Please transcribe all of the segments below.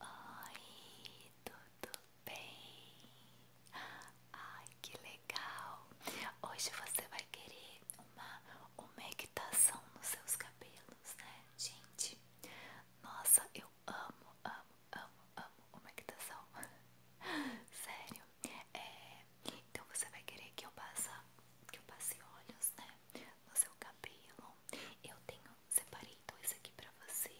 Oi, tudo bem? Ai, que legal! Hoje você vai querer uma umectação nos seus cabelos, né? Gente, nossa, eu amo, amo, amo, amo umectação. Sério. É, então você vai querer que eu passe, que eu passe olhos, né? né? No seu cabelo. Eu tenho, separei dois aqui pra você,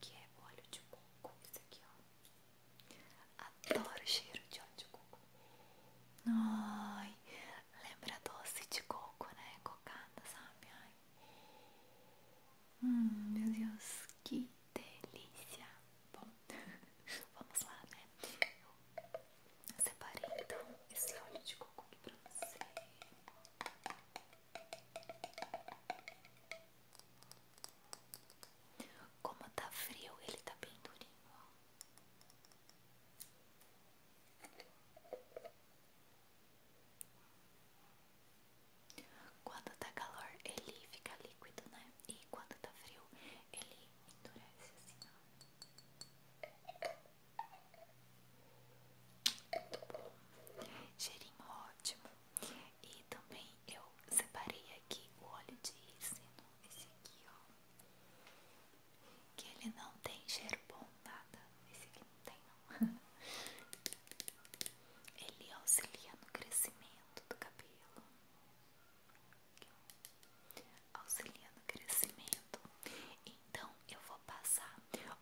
que é óleo de coco. Esse aqui, ó. Adoro o cheiro de óleo de coco. Ai, lembra doce de coco, né? Cocada, sabe? Ai. Hum, meu Deus, que delícia. Bom, vamos lá, né? Eu Separei então esse óleo de coco aqui pra você. Como tá frio, ele tá bem durinho, ó. Quando tá calor, ele fica líquido, né? E quando tá frio, ele endurece assim, ó. Cheirinho ótimo. E também eu separei aqui o óleo de rícino, esse aqui, ó. Que ele não tem cheiro bom, nada. Esse aqui não tem, não. Ele auxilia no crescimento do cabelo auxiliando o crescimento. Então eu vou passar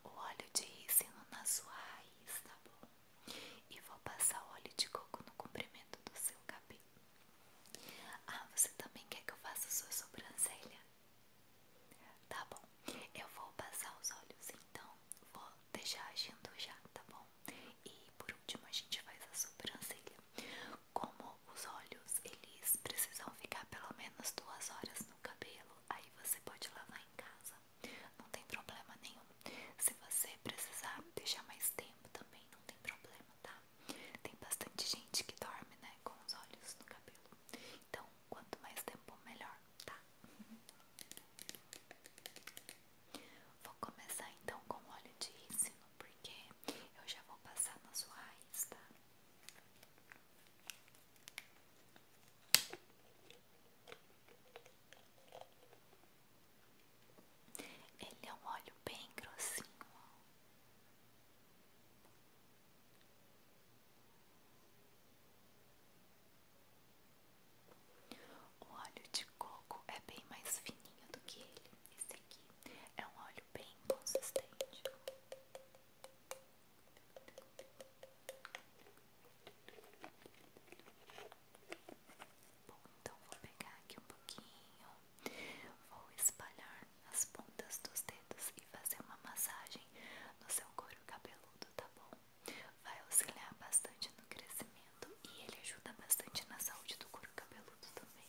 o óleo de rícino na sua raiz, tá bom? E vou passar o óleo de coco no comprimento do seu cabelo. Ah, você também quer que eu faça sua sobrancelha? Tá bom, eu vou passar os olhos então, vou deixar agindo já, tá bom? E por último a gente faz a sobrancelha. Como os olhos eles precisam ficar pelo menos duas horas no cabelo. Aí você pode lavar em casa, não tem problema nenhum. Se você precisar deixar mais tempo também, não tem problema, tá? Tem bastante gente que dorme, né, com os olhos no cabelo. Então, quanto mais tempo, melhor, tá? Vou começar então com óleo de rícino, porque eu já vou passar na sua raiz, tá? Ele é um óleo bem grossinho. O óleo de coco é bem mais fininho do que ele. É um óleo bem consistente. Bom, então vou pegar aqui um pouquinho, vou espalhar nas pontas dos dedos e fazer uma massagem no seu couro cabeludo, tá bom? Vai auxiliar bastante no crescimento e ele ajuda bastante na saúde do couro cabeludo também.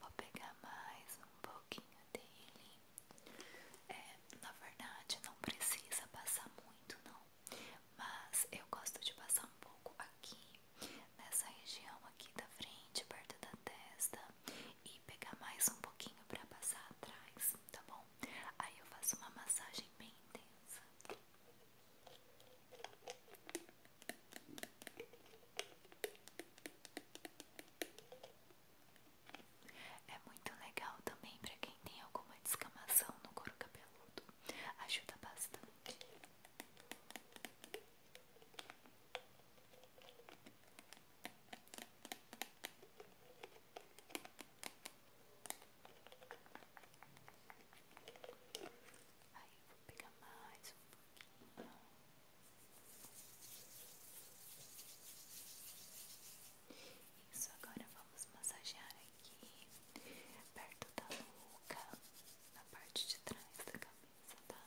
Vou pegar mais um pouquinho dele. É, na verdade, não precisa passar muito, não. Mas eu gosto de passar um pouco aqui, nessa região aqui da frente, perto da testa, e pegar mais um pouquinho para passar atrás tá bom? Aí eu faço uma massagem bem intensa. É muito legal também para quem tem alguma descamação no couro cabeludo. Ajuda bastante. Aí vou pegar mais um pouquinho. Isso, agora vamos massagear aqui perto da nuca, na parte de trás da cabeça, tá?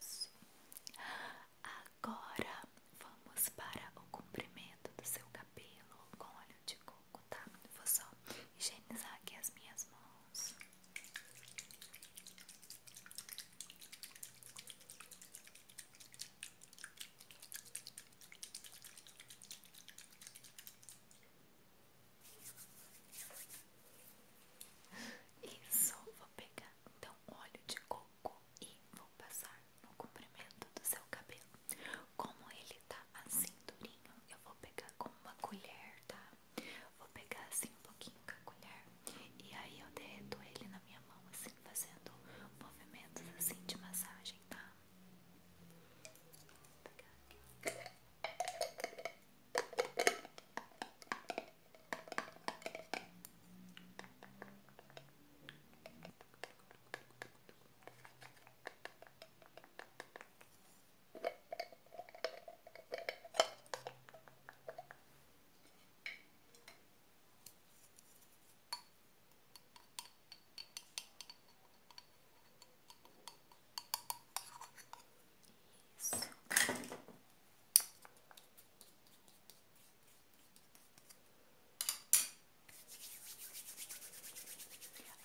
Isso. Agora vamos para o comprimento do seu cabelo com óleo de coco, tá? Vou só higienizar aqui as minhas mãos. Isso, vou pegar então óleo de coco e vou passar no comprimento do seu cabelo. Como ele tá assim durinho, eu vou pegar com uma colher, tá? Vou pegar assim um pouquinho com a colher e aí eu derreto ele na minha mão, assim, fazendo movimentos assim de massagem, tá? Isso.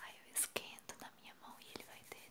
Aí eu esquento na minha mão e ele vai ter.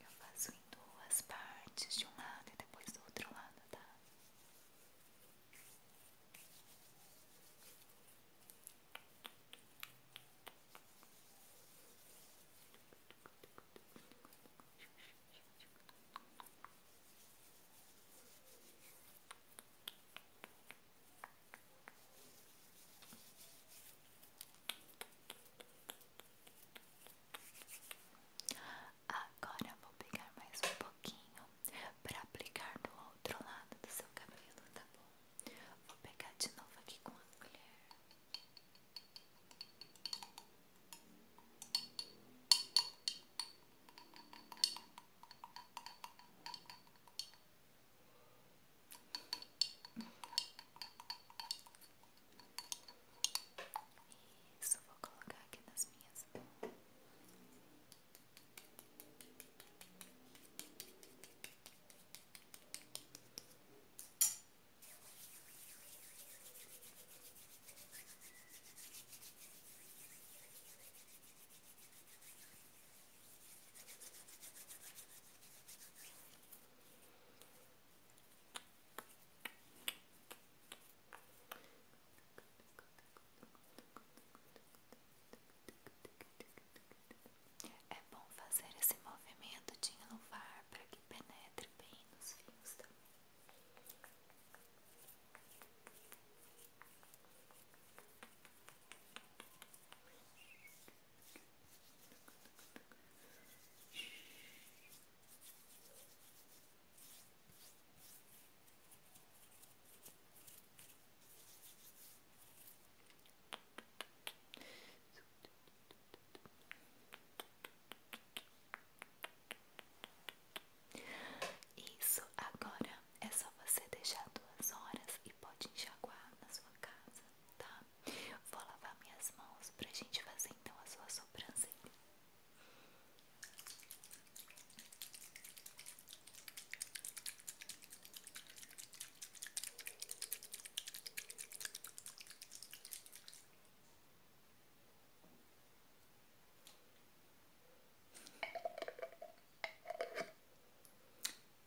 Eu faço em duas partes, de um lado e depois do outro lado, tá? Agora vou pegar mais um pouquinho para aplicar do outro lado do seu cabelo, tá bom? Vou pegar de novo aqui com a colher. Isso, vou colocar aqui nas minhas mãos. É bom fazer esse movimento de enluvar para que penetre bem nos fios também. Isso, agora é só você deixar duas horas e pode enxaguar na sua casa tá? Vou lavar minhas mãos pra gente fazer então a sua sobrancelha.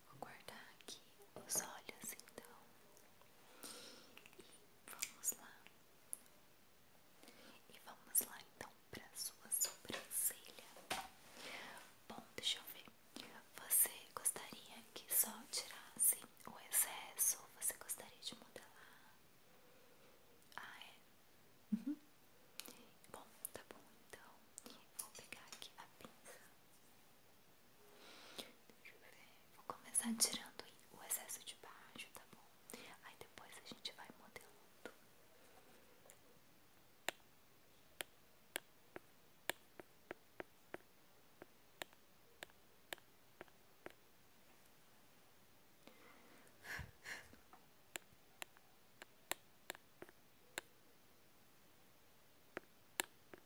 Vou guardar aqui os olhos então. E vamos lá. E vamos lá então para sua sobrancelha. Bom, deixa eu ver. Você gostaria que só tirasse o excesso? Você gostaria de modelar? Ah, é? Uhum. Bom, tá bom então. Vou pegar aqui a pinça. Deixa eu ver. Vou começar tirando o excesso de baixo, tá bom? Aí depois a gente vai modelando.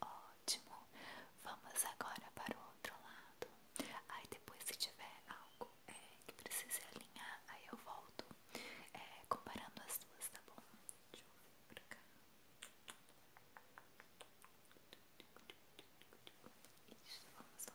Ótimo, vamos agora para o outro lado. Aí depois, se tiver algo é, que precise alinhar, aí eu volto é, comparando as duas, tá bom? Deixa eu vir pra cá. Isso, vamos lá.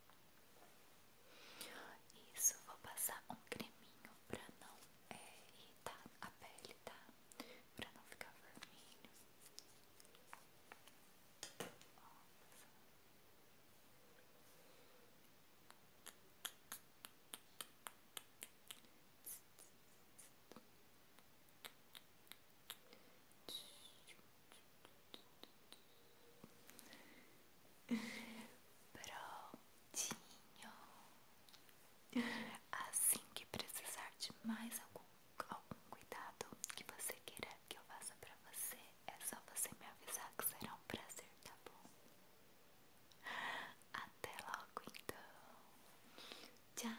Isso, vou passar um creminho pra não é, irritar a pele, tá? Pra não ficar vermelho. Prontinho. Assim que precisar de mais algum, algum cuidado que você queira que eu faça pra você, é só você me avisar que será um prazer, tá bom? Até logo então. Tchau.